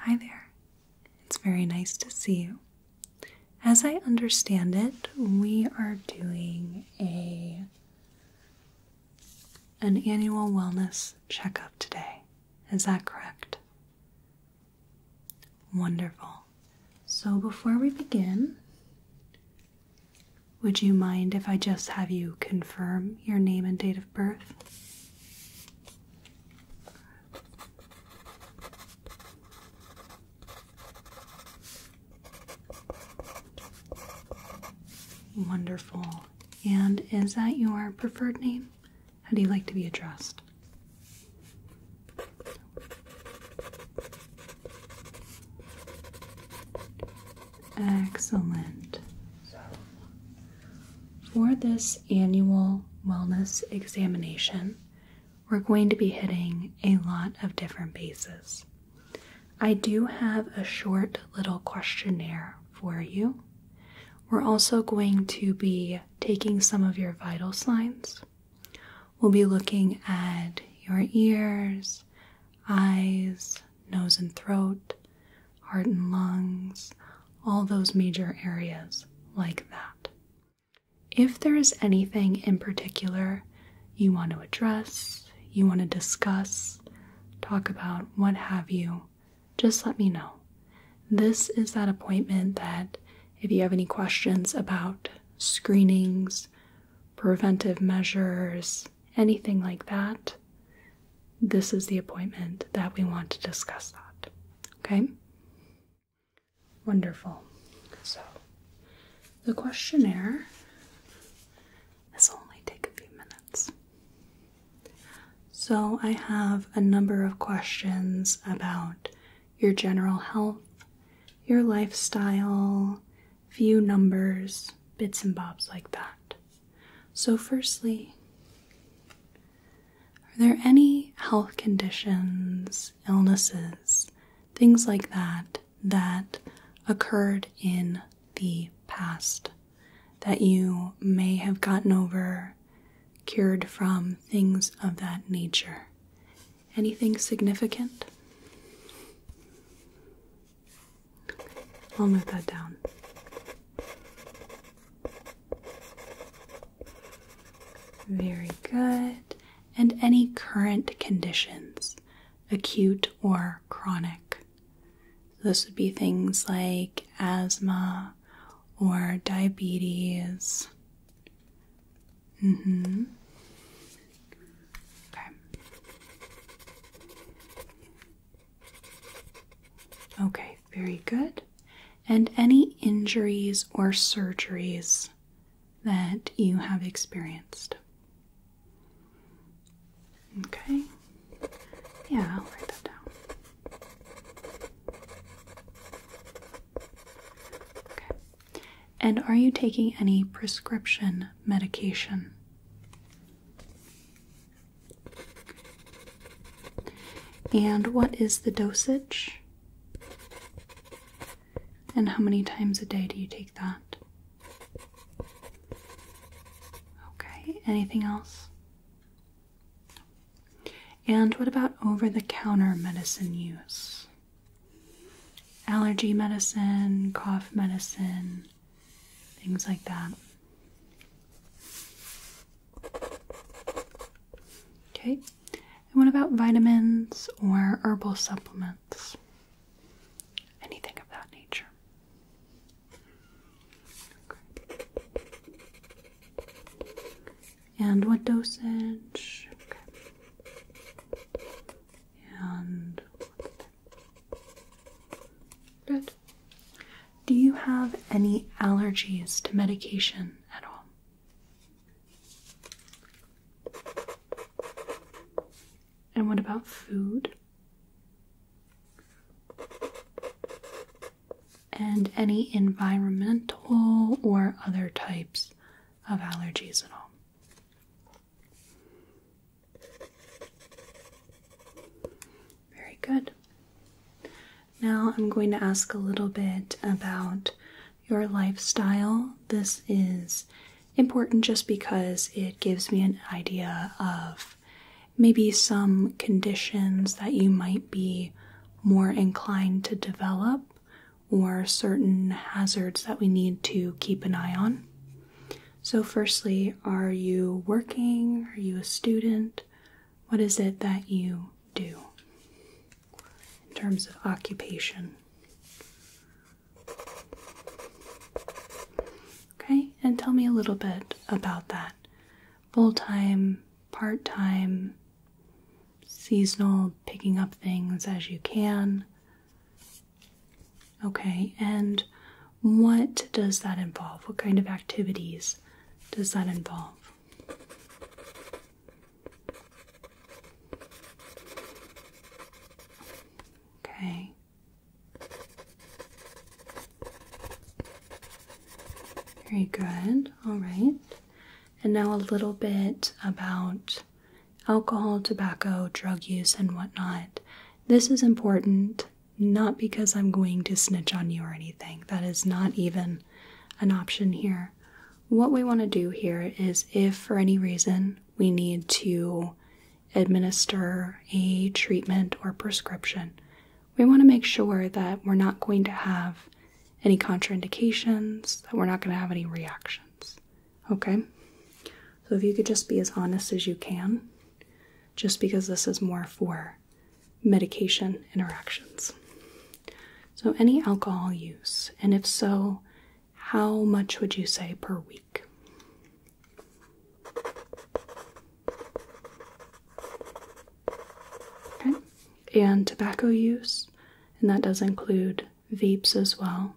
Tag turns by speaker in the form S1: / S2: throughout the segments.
S1: Hi there. It's very nice to see you. As I understand it, we are doing a an annual wellness checkup today. Is that correct? Wonderful. So before we begin, would you mind if I just have you confirm your name and date of birth? Wonderful. And is that your preferred name? How do you like to be addressed? Excellent. For this annual wellness examination, we're going to be hitting a lot of different bases. I do have a short little questionnaire for you. We're also going to be taking some of your vital signs. We'll be looking at your ears, eyes, nose and throat, heart and lungs, all those major areas like that. If there is anything in particular you want to address, you want to discuss, talk about, what have you, just let me know. This is that appointment that if you have any questions about screenings, preventive measures, anything like that, this is the appointment that we want to discuss that. Okay? Wonderful. So, the questionnaire this will only take a few minutes. So, I have a number of questions about your general health, your lifestyle, few numbers, bits and bobs like that. So, firstly, are there any health conditions, illnesses, things like that that occurred in the past that you may have gotten over, cured from, things of that nature? Anything significant? I'll move that down. Very good. And any current conditions, acute or chronic. This would be things like asthma or diabetes. Mm-hmm. Okay. Okay, very good and any injuries or surgeries that you have experienced. Okay. Yeah, I'll write that down. Okay. And are you taking any prescription medication? And what is the dosage? And how many times a day do you take that? Okay, anything else? And what about over the counter medicine use? Allergy medicine, cough medicine, things like that. Okay, and what about vitamins or herbal supplements? Anything of that nature. And what dosage? And good. Do you have any allergies to medication at all? And what about food? And any environmental or other types of allergies at all? Very good. Now I'm going to ask a little bit about your lifestyle. This is important just because it gives me an idea of maybe some conditions that you might be more inclined to develop or certain hazards that we need to keep an eye on. So, firstly, are you working? Are you a student? What is it that you do in terms of occupation. Okay, and tell me a little bit about that. Full time, part time, seasonal, picking up things as you can. Okay, and what does that involve? What kind of activities does that involve? Okay. Very good. All right. And now a little bit about alcohol, tobacco, drug use, and whatnot. This is important not because I'm going to snitch on you or anything. That is not even an option here. What we want to do here is if for any reason we need to administer a treatment or prescription, we want to make sure that we're not going to have any contraindications, that we're not going to have any reactions. Okay? So if you could just be as honest as you can, just because this is more for medication interactions. So, any alcohol use, and if so, how much would you say per week? Okay, and tobacco use, and that does include vapes as well.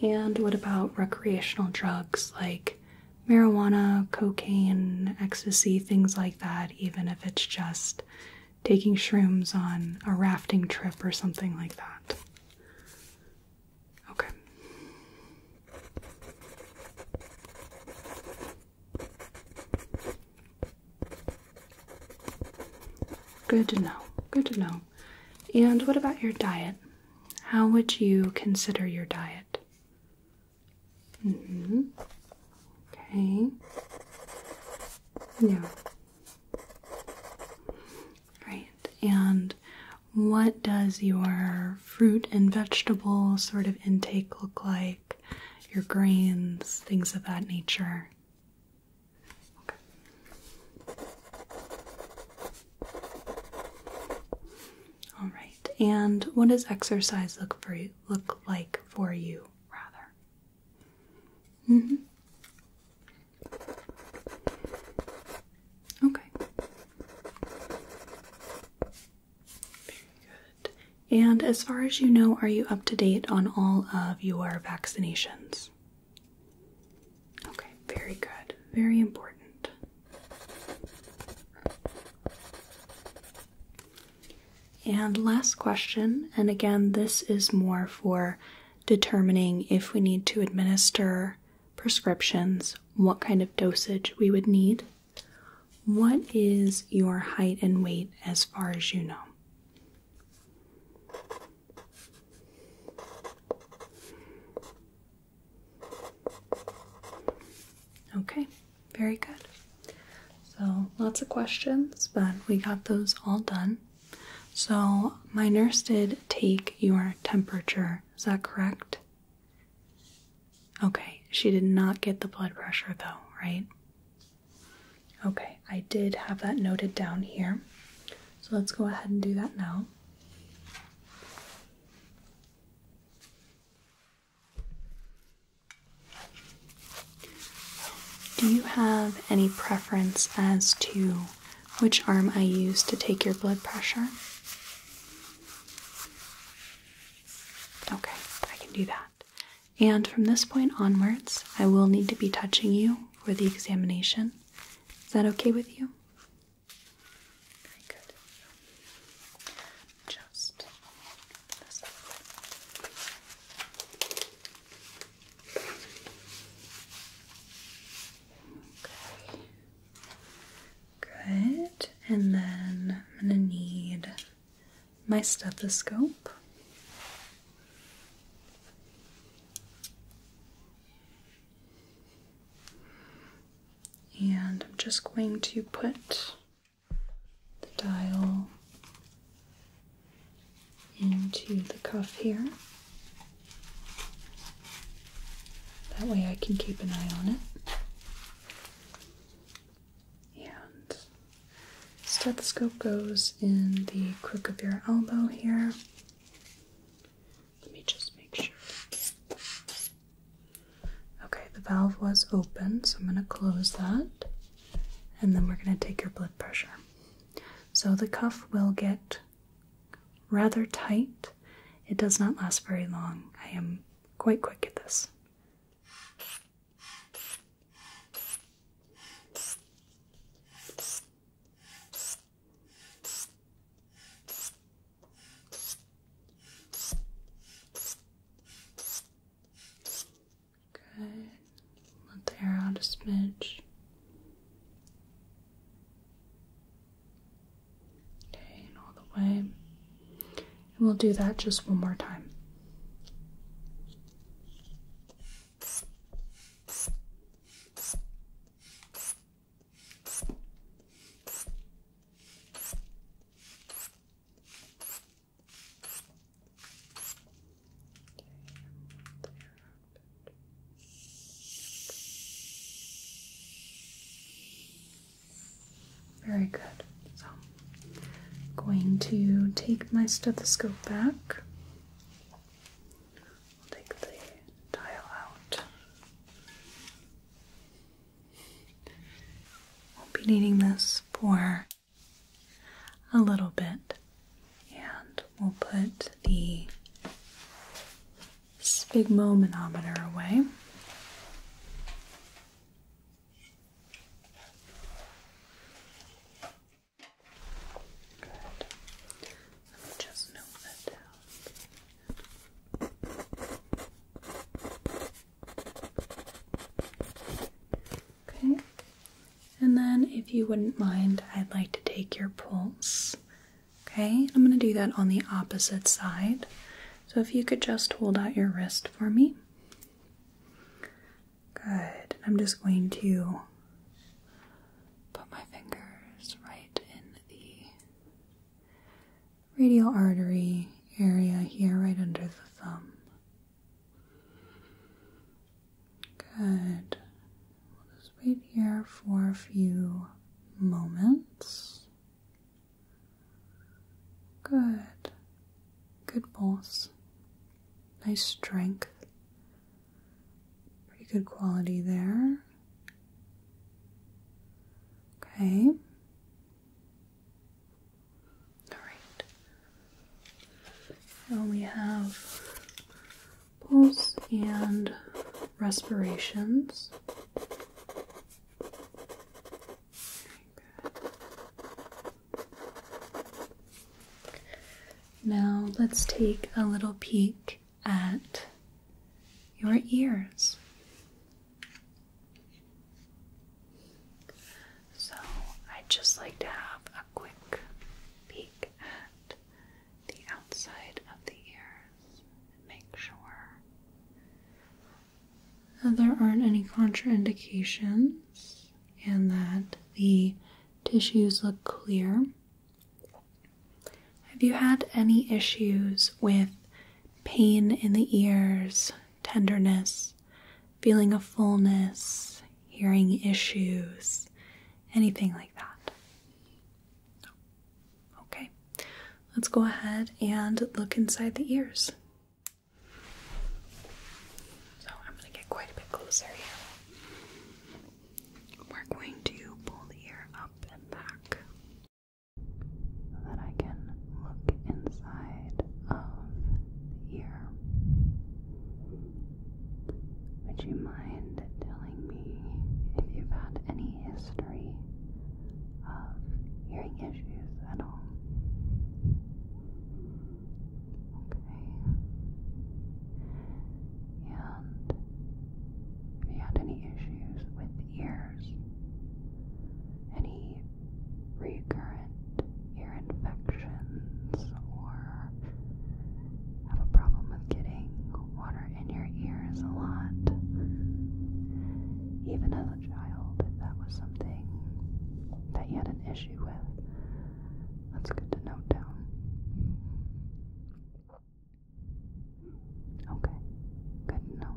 S1: And what about recreational drugs like marijuana, cocaine, ecstasy, things like that, even if it's just taking shrooms on a rafting trip or something like that? Okay. Good to know. Good to know. And what about your diet? how would you consider your diet? Mm -hmm. Okay. Yeah. Right. And what does your fruit and vegetable sort of intake look like? Your grains, things of that nature. All right. And what does exercise look for look like for you, rather? Mhm. okay. Very good. And as far as you know, are you up to date on all of your vaccinations? Okay, very good. Very important. And last question, and again, this is more for determining if we need to administer prescriptions, what kind of dosage we would need. What is your height and weight as far as you know? Okay, very good. So, lots of questions, but we got those all done. So, my nurse did take your temperature, is that correct? Okay, she did not get the blood pressure though, right? Okay, I did have that noted down here. So, let's go ahead and do that now. Do you have any preference as to which arm I use to take your blood pressure? Okay, I can do that. And from this point onwards, I will need to be touching you for the examination. Is that okay with you? Okay, good. Just this Okay. Good. And then I'm going to need my stethoscope and I'm just going to put the dial into the cuff here. That way I can keep an eye on it. And stethoscope goes in the crook of your elbow here. Let me just make sure. Okay, the valve was open, so I'm going to close that. And then we're going to take your blood pressure. So the cuff will get rather tight. It does not last very long. I am quite quick at this. Good. Let the air out a smidge. Okay, and all the way. And we'll do that just one more time. Very good. So I'm going to take my stethoscope back. take the dial out we will be needing this for a little bit, and we'll put the sphygmomanometer away. Good. Let me just note that down. Okay, and then if you wouldn't mind, I'd like to take your pulse. Okay, I'm going to do that on the opposite side. So if you could just hold out your wrist for me. Good. I'm just going to put my fingers right in the radial artery area here, right under the thumb. Good. We'll just wait here for a few moments. Good. Good pulse. Nice strength. Pretty good quality there. Okay. All right. Now we have pulse and respirations. Now let's take a little peek at your ears. So, I'd just like to have a quick peek at the outside of the ears and make sure there aren't any contraindications and that the tissues look clear. Have you had any issues with pain in the ears, tenderness, feeling of fullness, hearing issues, anything like that? No. Okay, let's go ahead and look inside the ears. So I'm going to get quite a bit closer here. We're going to pull the ear up and back that I can look inside of the Would you mind telling me if you've had any history of hearing issues at all? Okay. And if he had any issues with ears, any recurrent ear infections, or have a problem with getting water in your ears a lot. Even as a child, if that was something that you had an issue with, that's good to note down. Okay, good to know.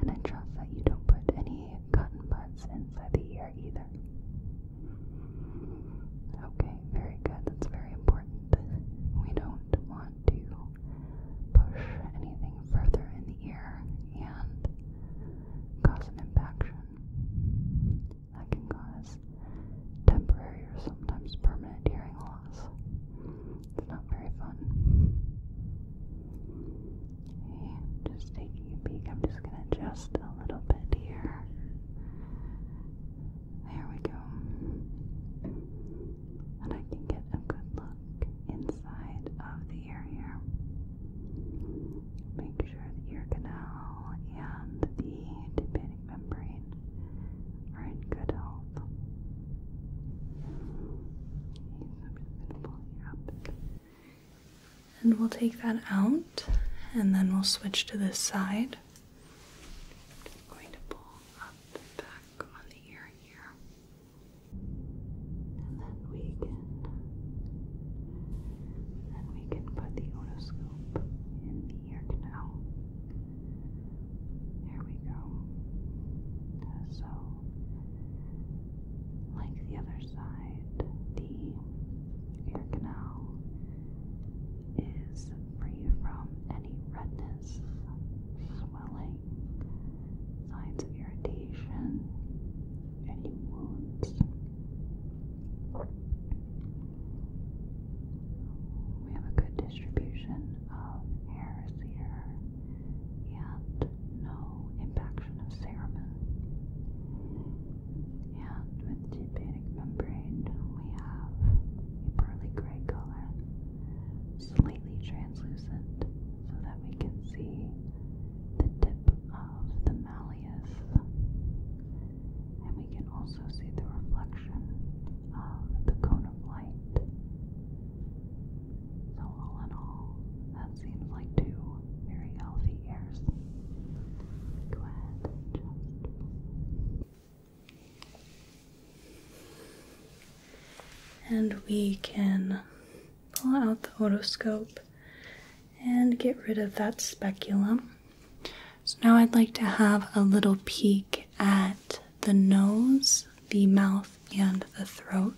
S1: And I trust that you don't put any cotton buds inside the ear either. Okay, very good. That's very important. We don't want to push anything further in the ear and cause an impaction that can cause temporary or sometimes permanent hearing loss. It's not very fun. just taking a peek. I'm just gonna adjust a little bit here. There we go. And I can get a good look inside of the ear here. Make sure the ear canal and the tympanic membrane are in good health. And we'll take that out and then we'll switch to this side. And then we can then we can put the otoscope in the ear canal. There we go. So, like the other side, the ear canal is free from any redness, swelling, signs of irritation, any wounds. We have a good distribution of hairs here and no impaction of cerumen. And with the tympanic membrane, we have a pearly gray color, slightly translucent, so that we can see the tip of the malleus. And we can also see the reflection of the cone of light so, all in all, that seems like two very healthy ears. Go ahead and just. And we can pull out the otoscope and get rid of that speculum. So now I'd like to have a little peek at the nose, the mouth, and the throat.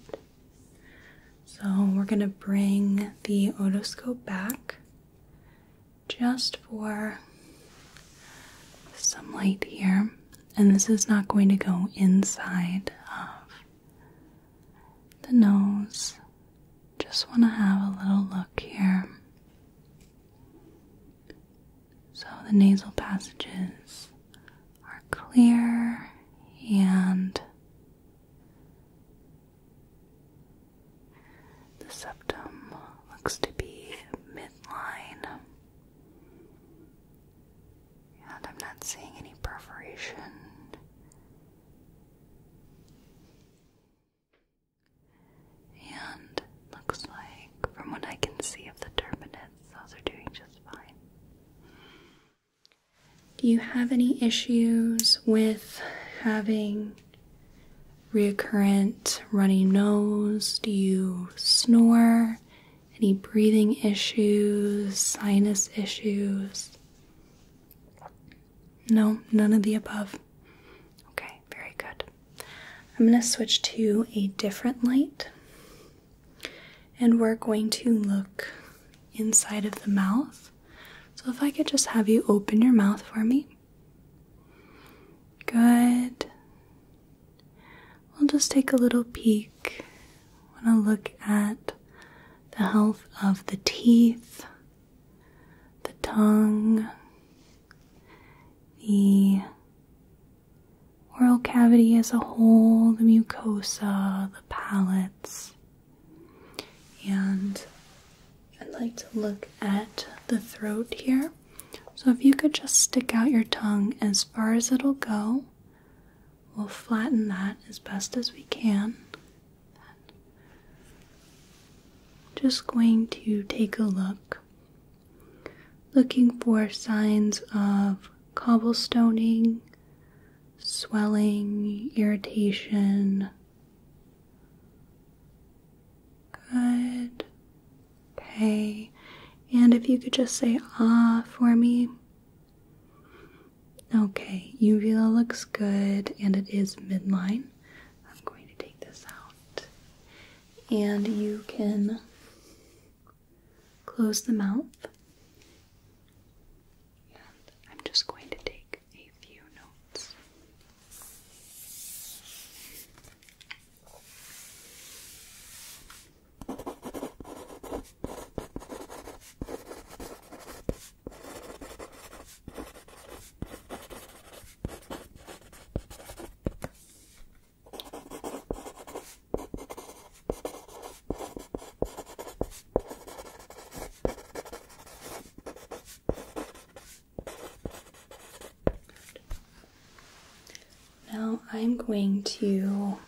S1: So we're going to bring the otoscope back just for some light here. And this is not going to go inside of the nose. Just want to have a little look here so the nasal passages are clear and the septum looks to be midline. And I'm not seeing any perforation. And looks like, from what I can see of the turbinates, those are doing just fine. Do you have any issues with having recurrent runny nose? Do you snore? Any breathing issues, sinus issues? No, none of the above. Okay, very good. I'm going to switch to a different light. And we're going to look inside of the mouth. So, if I could just have you open your mouth for me. Good. We'll just take a little peek. I want to look at the health of the teeth, the tongue, the oral cavity as a whole, the mucosa, the palates. And I'd like to look at the throat here. So if you could just stick out your tongue as far as it'll go, we'll flatten that as best as we can. Just going to take a look, looking for signs of cobblestoning, swelling, irritation. Good. Okay. And if you could just say ah for me. Okay, uvula looks good and it is midline. I'm going to take this out. And you can close the mouth. And I'm just going to take a few notes. Now I'm going to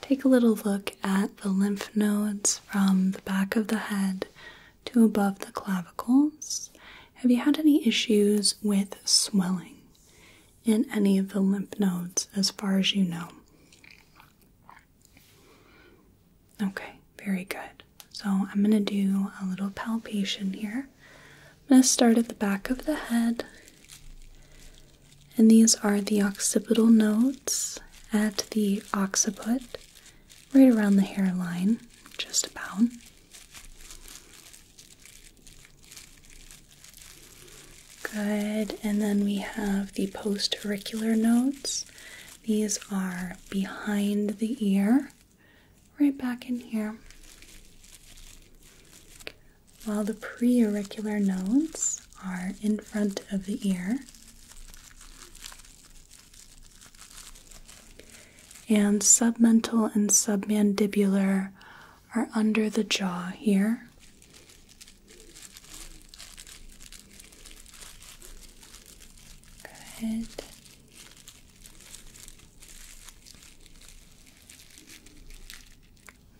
S1: take a little look at the lymph nodes from the back of the head to above the clavicles. Have you had any issues with swelling? in any of the lymph nodes, as far as you know. Okay, very good. So I'm going to do a little palpation here. I'm going to start at the back of the head. And these are the occipital nodes at the occiput, right around the hairline, just about. Good, and then we have the post auricular notes. These are behind the ear, right back in here. While the pre auricular notes are in front of the ear. And submental and submandibular are under the jaw here. Go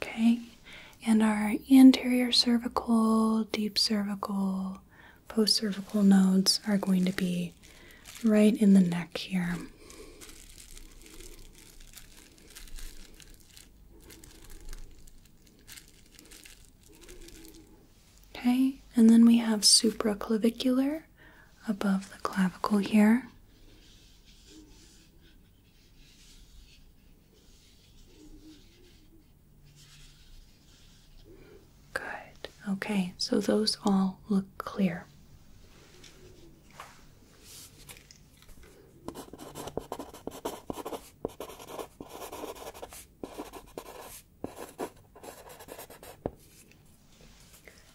S1: Okay, and our anterior cervical, deep cervical, post cervical nodes are going to be right in the neck here. Okay, and then we have supraclavicular above the clavicle here. Good. Okay, so those all look clear.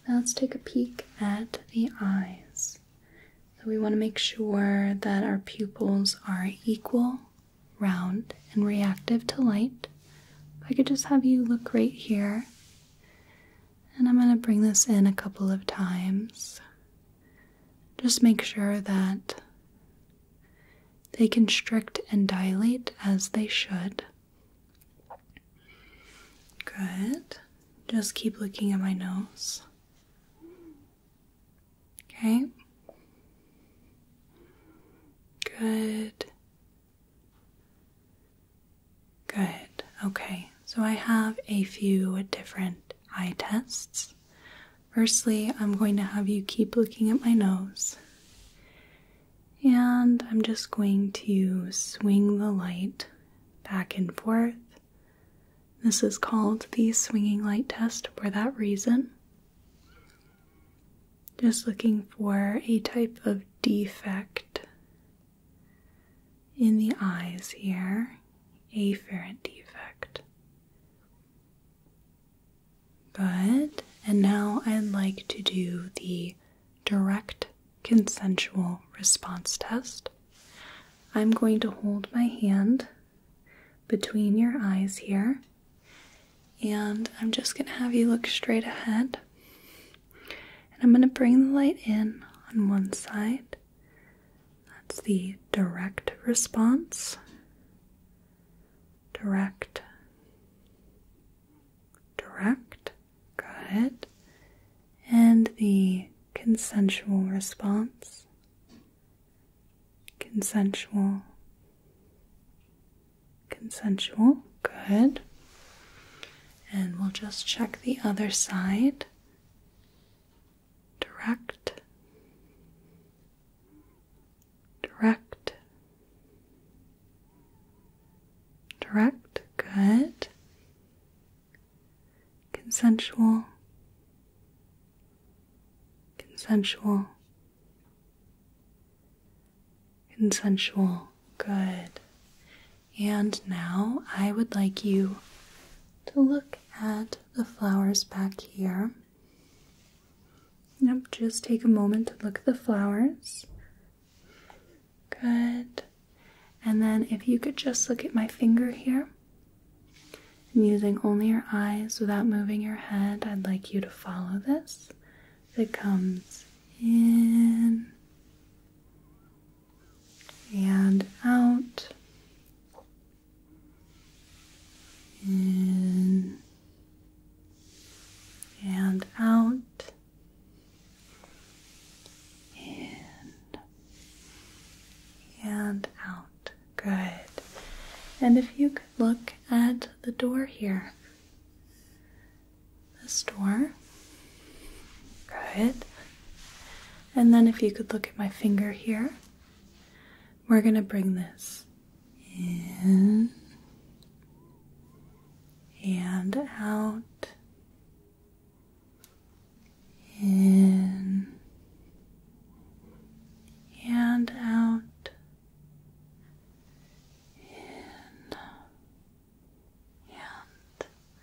S1: Now let's take a peek at the eyes. So we want to make sure that our pupils are equal, round, and reactive to light. I could just have you look right here. And I'm going to bring this in a couple of times. Just make sure that they constrict and dilate as they should. Good. Just keep looking at my nose. Okay. Good. Good. Okay. So I have a few different eye tests. Firstly, I'm going to have you keep looking at my nose. And I'm just going to swing the light back and forth. This is called the swinging light test for that reason. Just looking for a type of defect in the eyes here, afferent defect. Good. And now I'd like to do the direct consensual response test. I'm going to hold my hand between your eyes here, and I'm just going to have you look straight ahead. And I'm going to bring the light in on one side that's the direct response. Direct. Direct. Good. And the consensual response. Consensual. Consensual. Good. And we'll just check the other side direct, direct, direct, good, consensual, consensual, consensual, good. And now I would like you to look at the flowers back here. Yep, just take a moment to look at the flowers. Good. And then if you could just look at my finger here. And using only your eyes without moving your head, I'd like you to follow this. It comes in and out in and out, in and out. Good. And if you could look at the door here, this door. Good. And then if you could look at my finger here we're going to bring this in and out. In and out. In and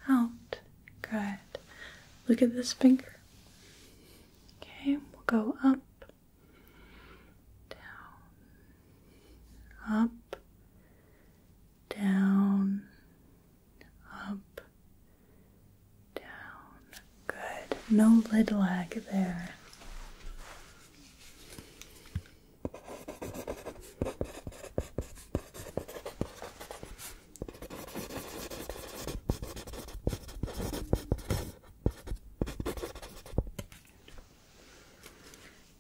S1: out. Good. Look at this finger. Okay, we'll go up, down, up, down, up, down. Good. No lid lag there.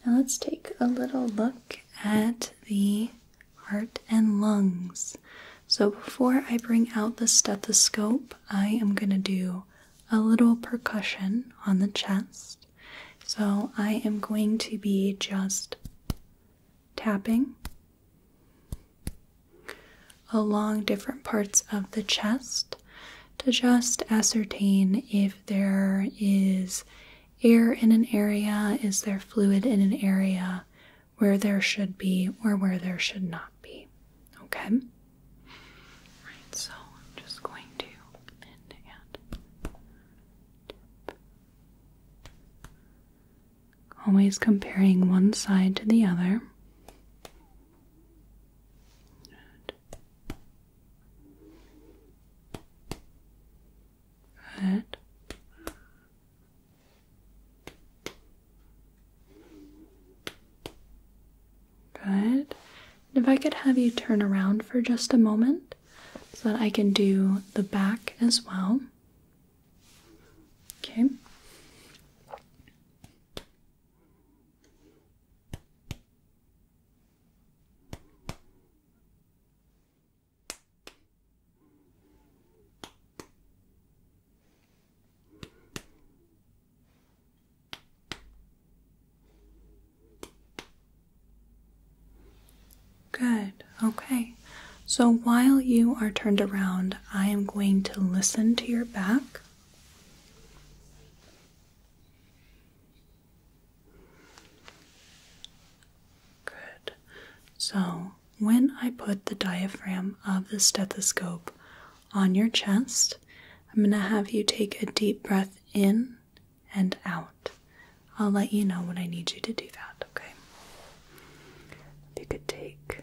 S1: Now let's take a little look at the heart and lungs. So before I bring out the stethoscope, I am going to do a little percussion on the chest. So I am going to be just tapping along different parts of the chest to just ascertain if there is air in an area, is there fluid in an area where there should be or where there should not be. Okay? Right, so I'm just going to Always comparing one side to the other. Good. Good. Good. if I could have you turn around for just a moment so that I can do the back as well. Okay. Good. Okay. So while you are turned around, I am going to listen to your back. Good. So, when I put the diaphragm of the stethoscope on your chest, I'm going to have you take a deep breath in and out. I'll let you know when I need you to do that, okay? you could take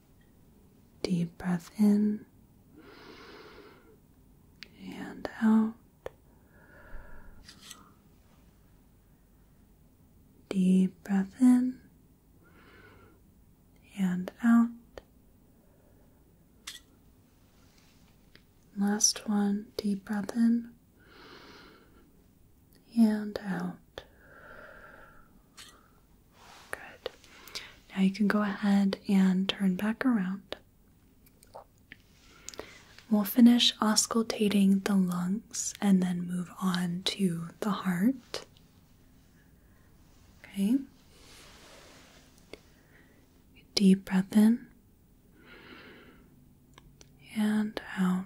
S1: Deep breath in and out. Deep breath in and out. Last one, deep breath in and out. Good. Now you can go ahead and turn back around. We'll finish auscultating the lungs and then move on to the heart. Okay. Deep breath in and out.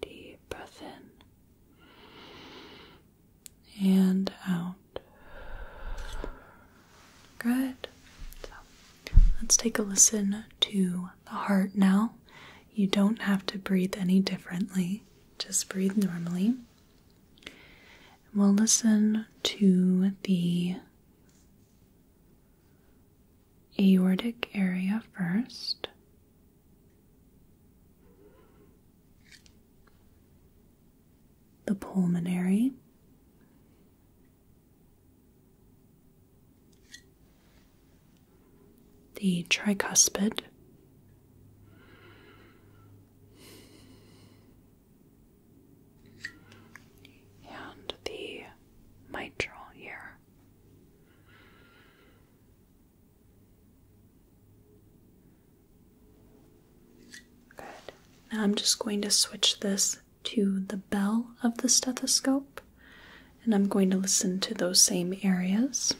S1: Deep breath in and out. Good. let's take a listen to the heart now. You don't have to breathe any differently, just breathe normally. And we'll listen to the aortic area first. The pulmonary, the tricuspid, and the mitral here. Good. Now I'm just going to switch this to the bell of the stethoscope and I'm going to listen to those same areas.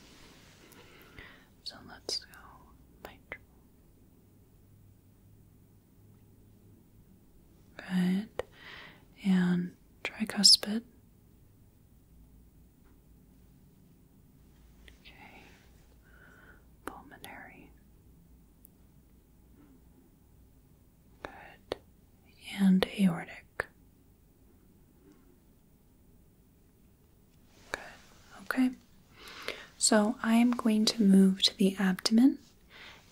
S1: So let's go mitral. Good. And tricuspid. Okay. Pulmonary. Good. And aortic. Good. Okay. So I am going to move to the abdomen.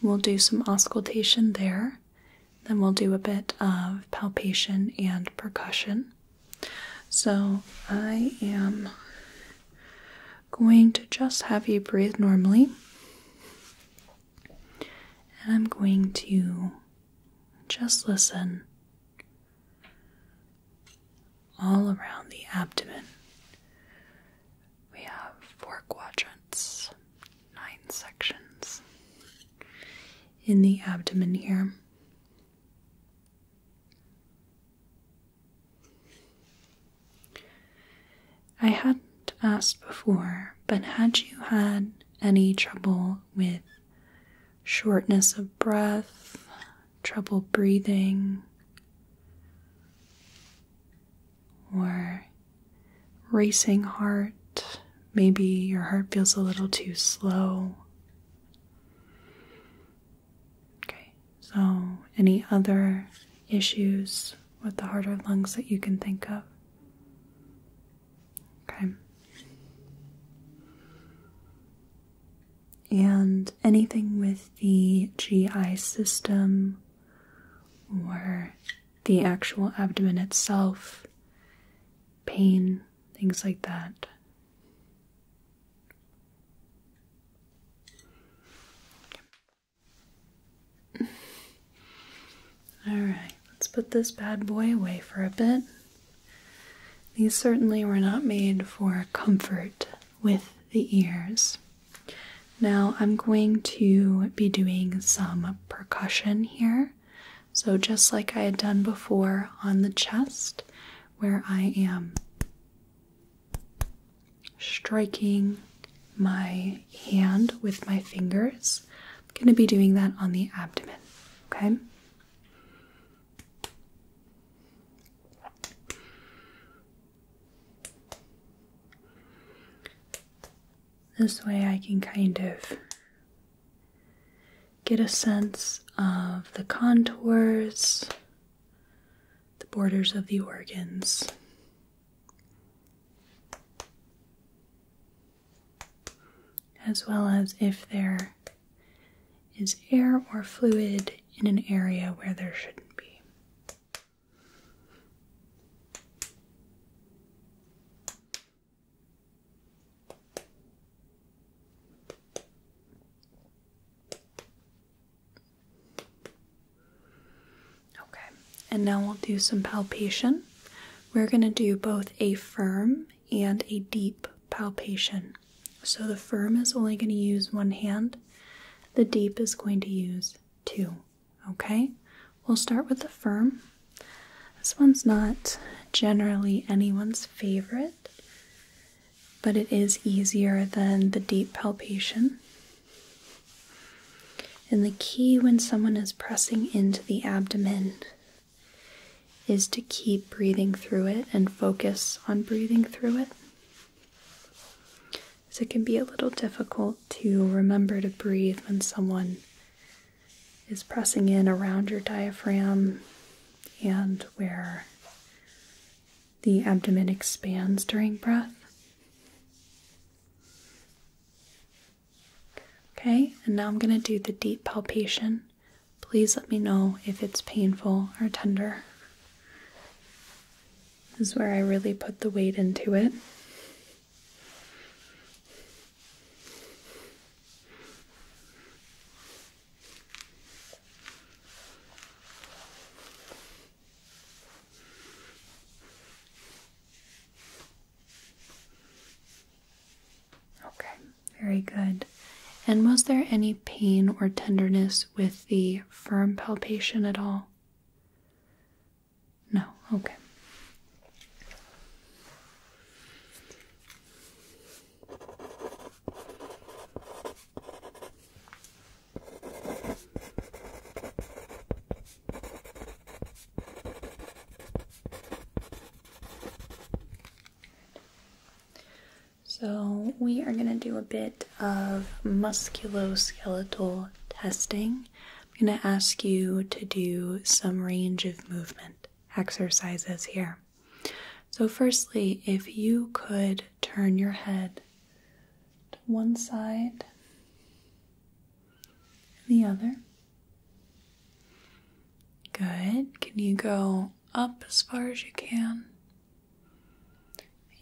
S1: We'll do some auscultation there. Then we'll do a bit of palpation and percussion. So I am going to just have you breathe normally. And I'm going to just listen all around the abdomen. We have four quadrants, nine sections in the abdomen here. I hadn't asked before, but had you had any trouble with shortness of breath, trouble breathing, or racing heart, Maybe your heart feels a little too slow. Okay, so any other issues with the heart or lungs that you can think of? Okay. And anything with the GI system or the actual abdomen itself, pain, things like that. All right, let's put this bad boy away for a bit. These certainly were not made for comfort with the ears. Now I'm going to be doing some percussion here. So, just like I had done before on the chest, where I am striking my hand with my fingers, I'm going to be doing that on the abdomen, okay? This way, I can kind of Get a sense of the contours, the borders of the organs. As well as if there is air or fluid in an area where there shouldn't be. Okay, and now we'll do some palpation. We're going to do both a firm and a deep palpation. So the firm is only going to use one hand, the deep is going to use two. Okay, we'll start with the firm. This one's not generally anyone's favorite, but it is easier than the deep palpation. And the key when someone is pressing into the abdomen is to keep breathing through it and focus on breathing through it. So it can be a little difficult to remember to breathe when someone is pressing in around your diaphragm and where the abdomen expands during breath. Okay, and now I'm going to do the deep palpation. Please let me know if it's painful or tender. This is where I really put the weight into it. Okay, very good. And was there any pain or tenderness with the firm palpation at all? No, okay. So, we are going to do a bit of musculoskeletal testing. I'm going to ask you to do some range of movement exercises here. So, firstly, if you could turn your head to one side and the other. Good. Can you go up as far as you can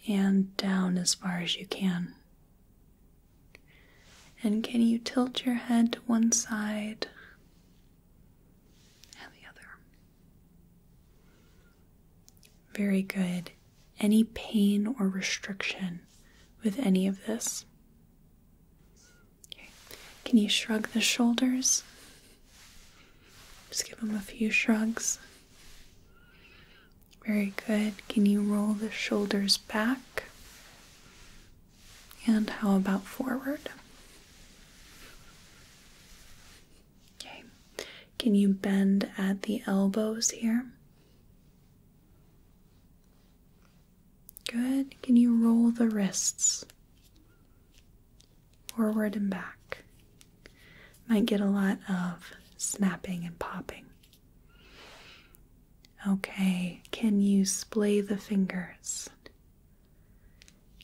S1: and down as far as you can? And can you tilt your head to one side and the other. Very good. Any pain or restriction with any of this? Can you shrug the shoulders? Just give them a few shrugs. Very good. Can you roll the shoulders back? And how about forward? Okay. Can you bend at the elbows here? Good. Can you roll the wrists? Forward and back. Might get a lot of snapping and popping. Okay, can you splay the fingers?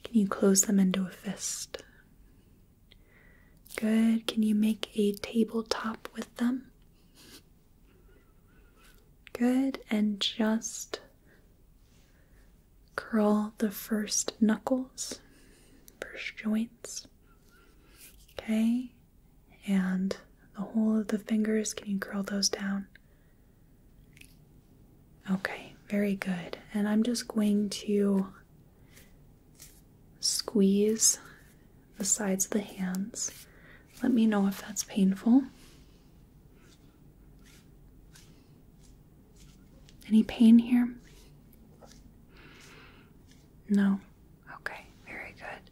S1: Can you close them into a fist? Good. Can you make a tabletop with them? Good. And just curl the first knuckles, first joints. Okay. And the whole of the fingers, can you curl those down? Okay, very good. And I'm just going to squeeze the sides of the hands. Let me know if that's painful. Any pain here? No? Okay, very good.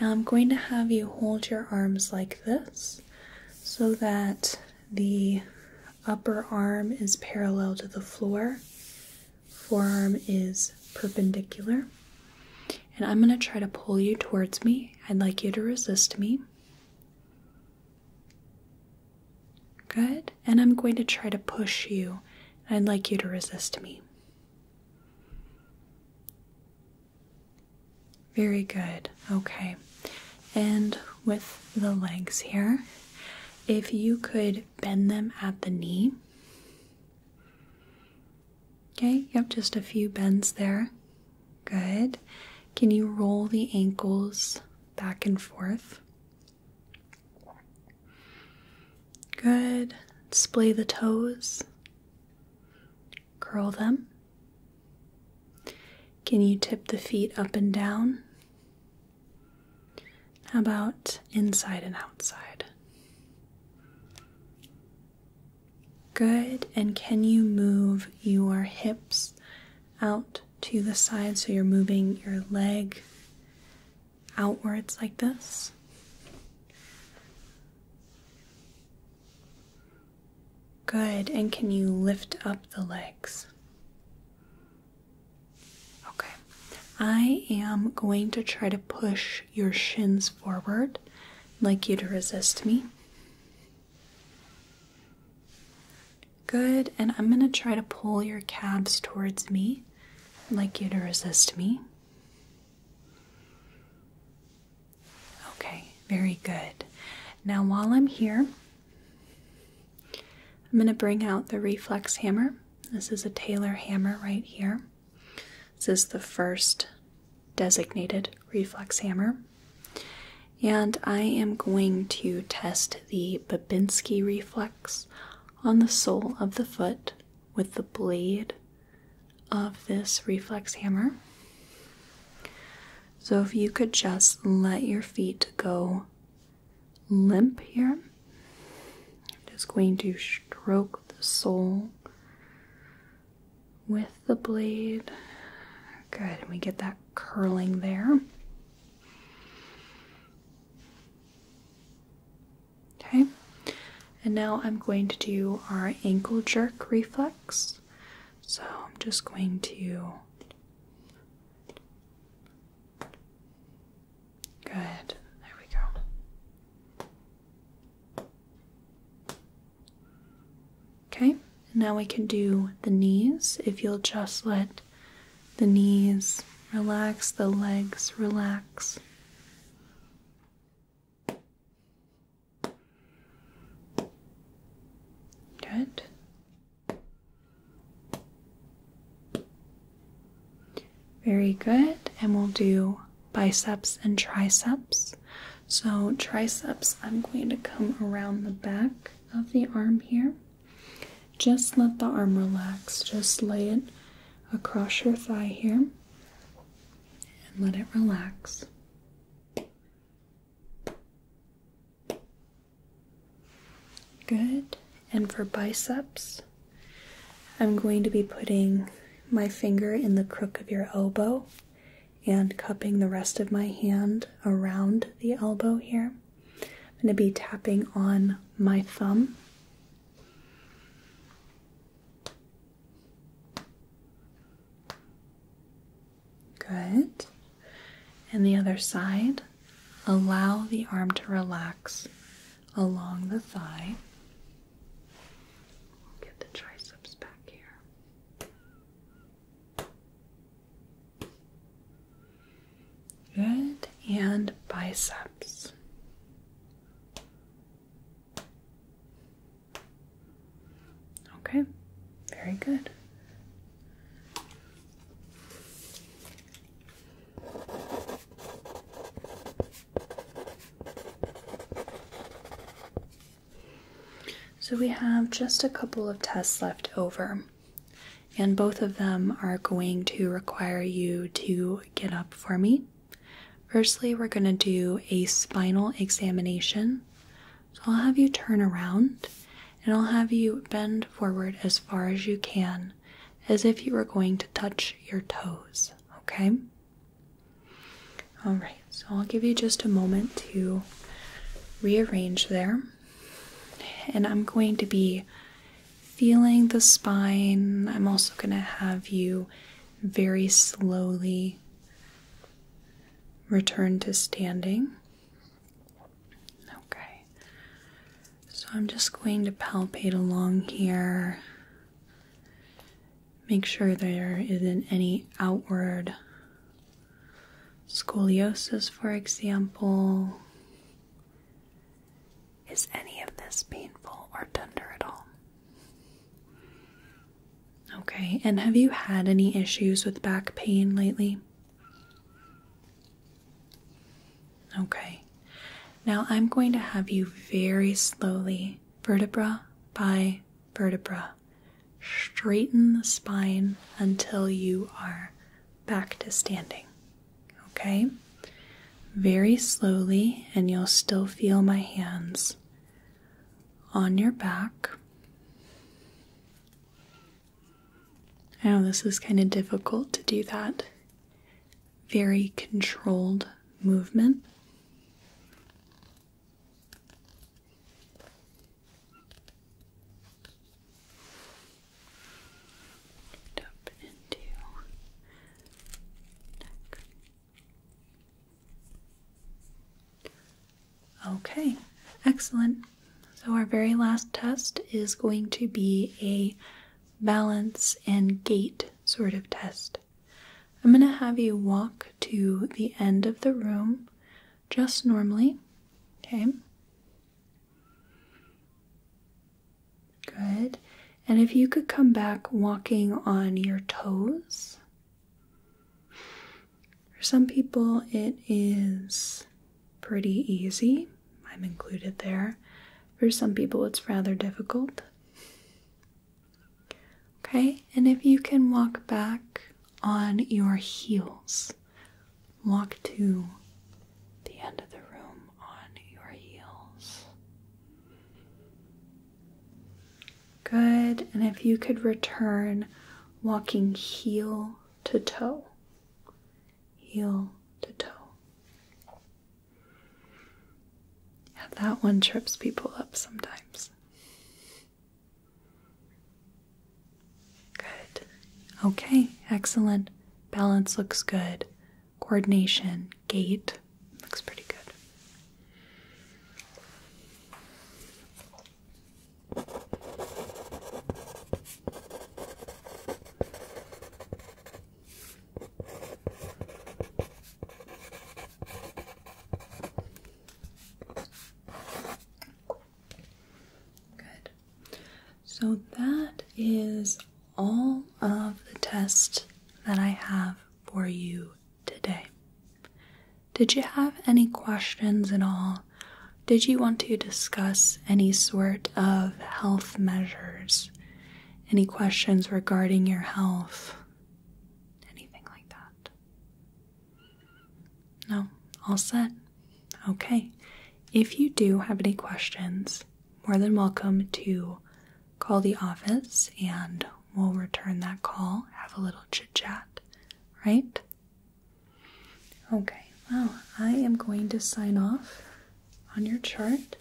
S1: Now I'm going to have you hold your arms like this so that the upper arm is parallel to the floor, forearm is perpendicular. And I'm going to try to pull you towards me. I'd like you to resist me. Good. And I'm going to try to push you. I'd like you to resist me. Very good. Okay. And with the legs here, if you could bend them at the knee. Okay, yep, just a few bends there. Good. Can you roll the ankles back and forth? Good. Splay the toes. Curl them. Can you tip the feet up and down? How about inside and outside? Good. And can you move your hips out to the side so you're moving your leg outwards like this? Good. And can you lift up the legs? Okay. I am going to try to push your shins forward. like you to resist me. Good. And I'm going to try to pull your calves towards me. like you to resist me. Okay, very good. Now, while I'm here, I'm going to bring out the reflex hammer. This is a Taylor hammer right here. This is the first designated reflex hammer. And I am going to test the Babinski reflex on the sole of the foot with the blade of this reflex hammer. So if you could just let your feet go limp here, I'm just going to stroke the sole with the blade. Good, we get that curling there. Okay, and now I'm going to do our ankle jerk reflex. So I'm just going to Good. There we go. Okay, now we can do the knees. If you'll just let the knees relax, the legs relax. Good. Very good. And we'll do biceps and triceps. So, triceps, I'm going to come around the back of the arm here. Just let the arm relax. Just lay it across your thigh here and let it relax. Good. And for biceps, I'm going to be putting my finger in the crook of your elbow and cupping the rest of my hand around the elbow here. I'm going to be tapping on my thumb. Good. And the other side. Allow the arm to relax along the thigh. Get the triceps back here. Good. And biceps. Okay, very good. So we have just a couple of tests left over, and both of them are going to require you to get up for me. Firstly, we're going to do a spinal examination. So I'll have you turn around and I'll have you bend forward as far as you can, as if you were going to touch your toes, okay? All right, so I'll give you just a moment to rearrange there, and I'm going to be feeling the spine. I'm also going to have you very slowly return to standing. Okay, so I'm just going to palpate along here. Make sure there isn't any outward scoliosis, for example. Is any of this painful or tender at all? Okay, and have you had any issues with back pain lately? Okay, now I'm going to have you very slowly, vertebra by vertebra, straighten the spine until you are back to standing. Okay, very slowly, and you'll still feel my hands on your back. I know this is kind of difficult to do that very controlled movement. Up into neck. Okay, excellent. So, our very last test is going to be a balance and gait sort of test. I'm going to have you walk to the end of the room just normally. Okay. Good. And if you could come back walking on your toes. For some people, it is pretty easy. I'm included there. For some people, it's rather difficult. Okay, and if you can walk back on your heels, walk to the end of the room on your heels. Good, and if you could return walking heel to toe heel to toe. Yeah, that one trips people up sometimes. Good. Okay, excellent. Balance looks good. Coordination, gait looks pretty good. Good. So that is all of the test that I have for you today. Did you have any questions at all did you want to discuss any sort of health measures? Any questions regarding your health? Anything like that? No? All set? Okay. If you do have any questions, more than welcome to call the office and we'll return that call, have a little chit chat, right? Okay, well, I am going to sign off on your chart,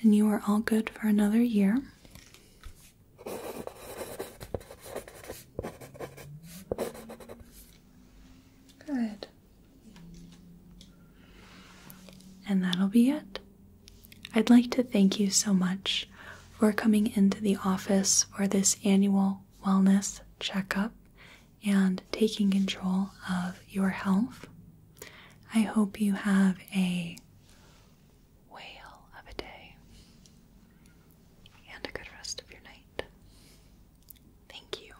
S1: and you are all good for another year. Good. And that'll be it. I'd like to thank you so much for coming into the office for this annual wellness checkup and taking control of your health. I hope you have a whale of a day and a good rest of your night. Thank you.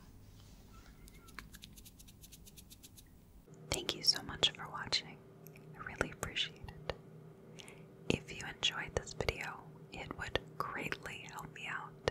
S1: Thank you so much for watching. I really appreciate it. If you enjoyed this video, it would greatly help me out